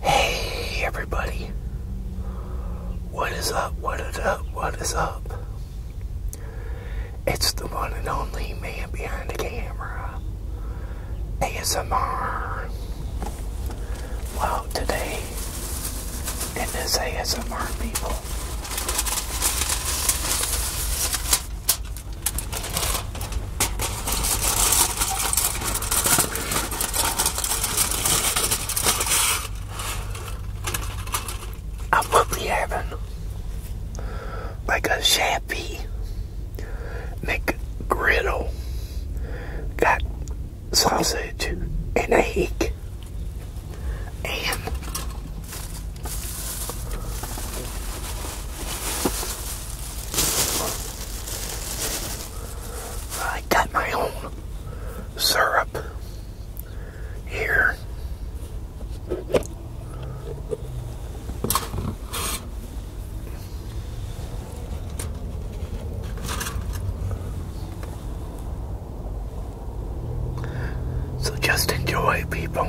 Hey everybody. What is up? What is up? What is up? It's the one and only man behind the camera. ASMR. Well, today in this ASMR people I will be having like a shabby McGriddle. Got sausage and egg and I got my own syrup here. So just enjoy, people.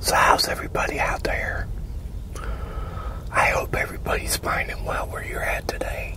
So how's everybody out there? I hope everybody's finding well where you're at today.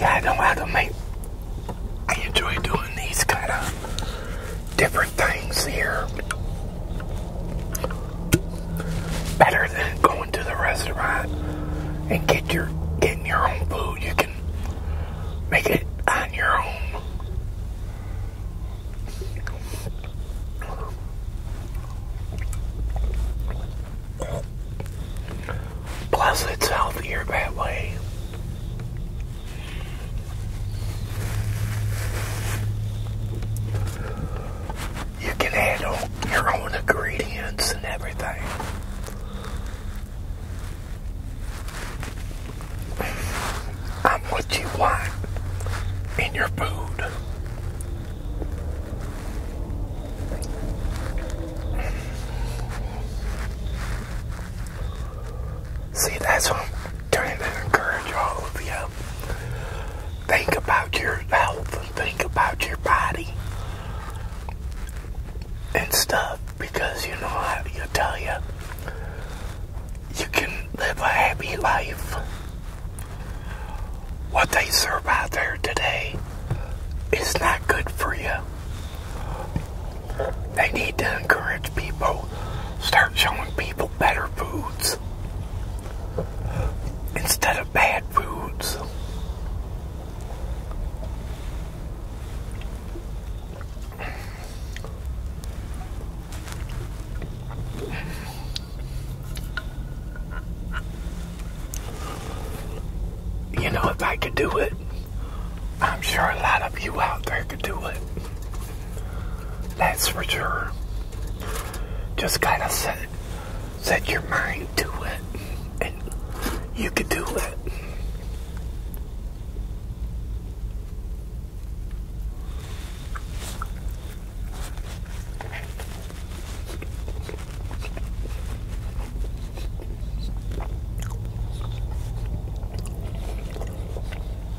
Yeah, I know how to make. I enjoy doing these kind of different things here. Better than going to the restaurant and get your getting your own food. You can make it on your own. Plus, it's healthier that way. You can handle your own ingredients and everything. I'm what you want in your food. See, that's what I'm trying to encourage all of you. Think about your health and think about your body and stuff because you know how you tell you you can live a happy life. What they serve out there today is not good for you. They need to encourage people start showing people better foods instead of bad foods. You know, if I could do it, I'm sure a lot of you out there could do it. That's for sure. Just kind of set, set your mind to it, and you can do it.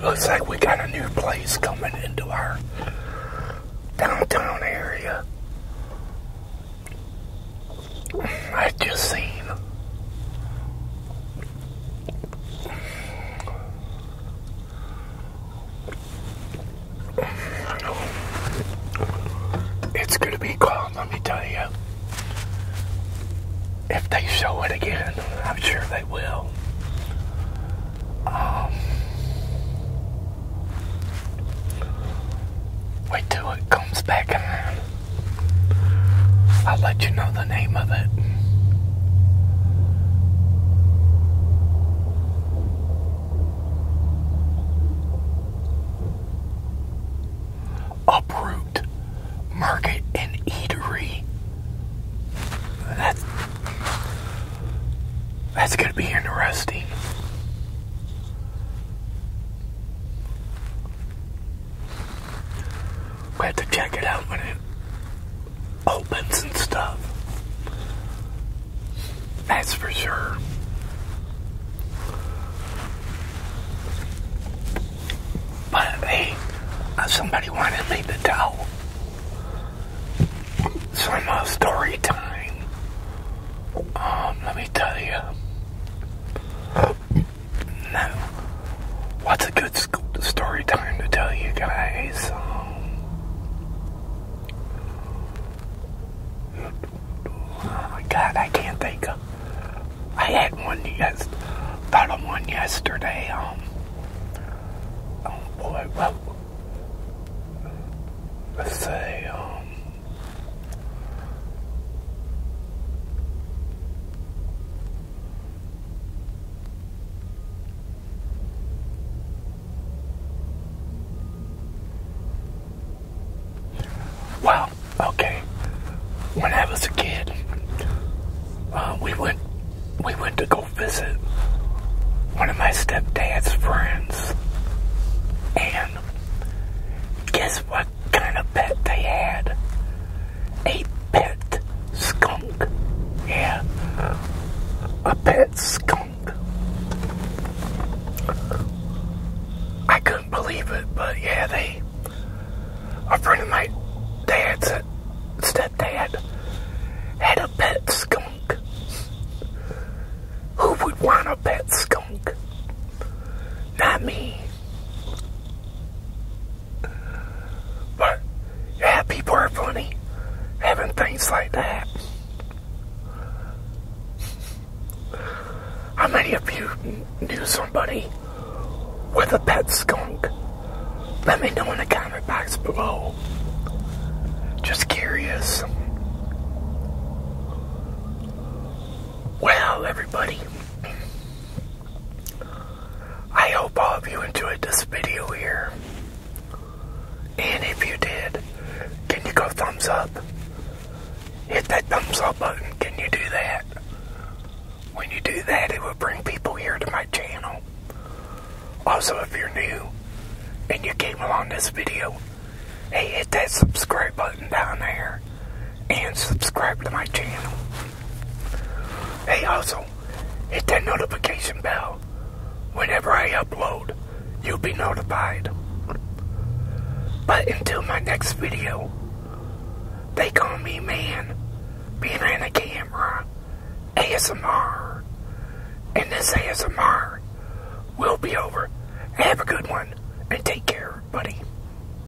Looks like we got a new place coming into our downtown area. I just seen it's going to be calm, let me tell you. If they show it again, I'm sure they will. Um, wait till it comes back on. I'll let you know the name of it. Uproot Market and Eatery. That's that's gonna be interesting. We have to check it out when it opens and stuff. That's for sure. But hey, uh, somebody wanted me to tell some uh, story time. Um, let me tell you now, what's a good story time to tell you guys? Um, oh my god, I can't think of. I had one yes, thought of one yesterday. Um, oh boy, well, let's say, um, well, okay. When I was a kid, uh, we went we went to go visit one of my stepdad's friends, and guess what kind of pet they had. A pet skunk. Yeah. A pet skunk. I couldn't believe it, but yeah, they. A friend of my dad's uh, stepdad had a pet skunk. Who would want a pet skunk? Not me. But yeah, people are funny having things like that. How many of you knew somebody with a pet skunk? Let me know in the comment box below. Just curious. Well, everybody, I hope all of you enjoyed this video here. And if you did, can you go thumbs up? Hit that thumbs up button. Can you do that? When you do that, it will bring people here to my channel. Also, if you're new and you came along this video, hey, hit that subscribe button down there and subscribe to my channel. Hey, also, hit that notification bell. Whenever I upload, you'll be notified. But until my next video, they call me man behind the camera ASMR. And this ASMR will be over. Have a good one and take care, buddy.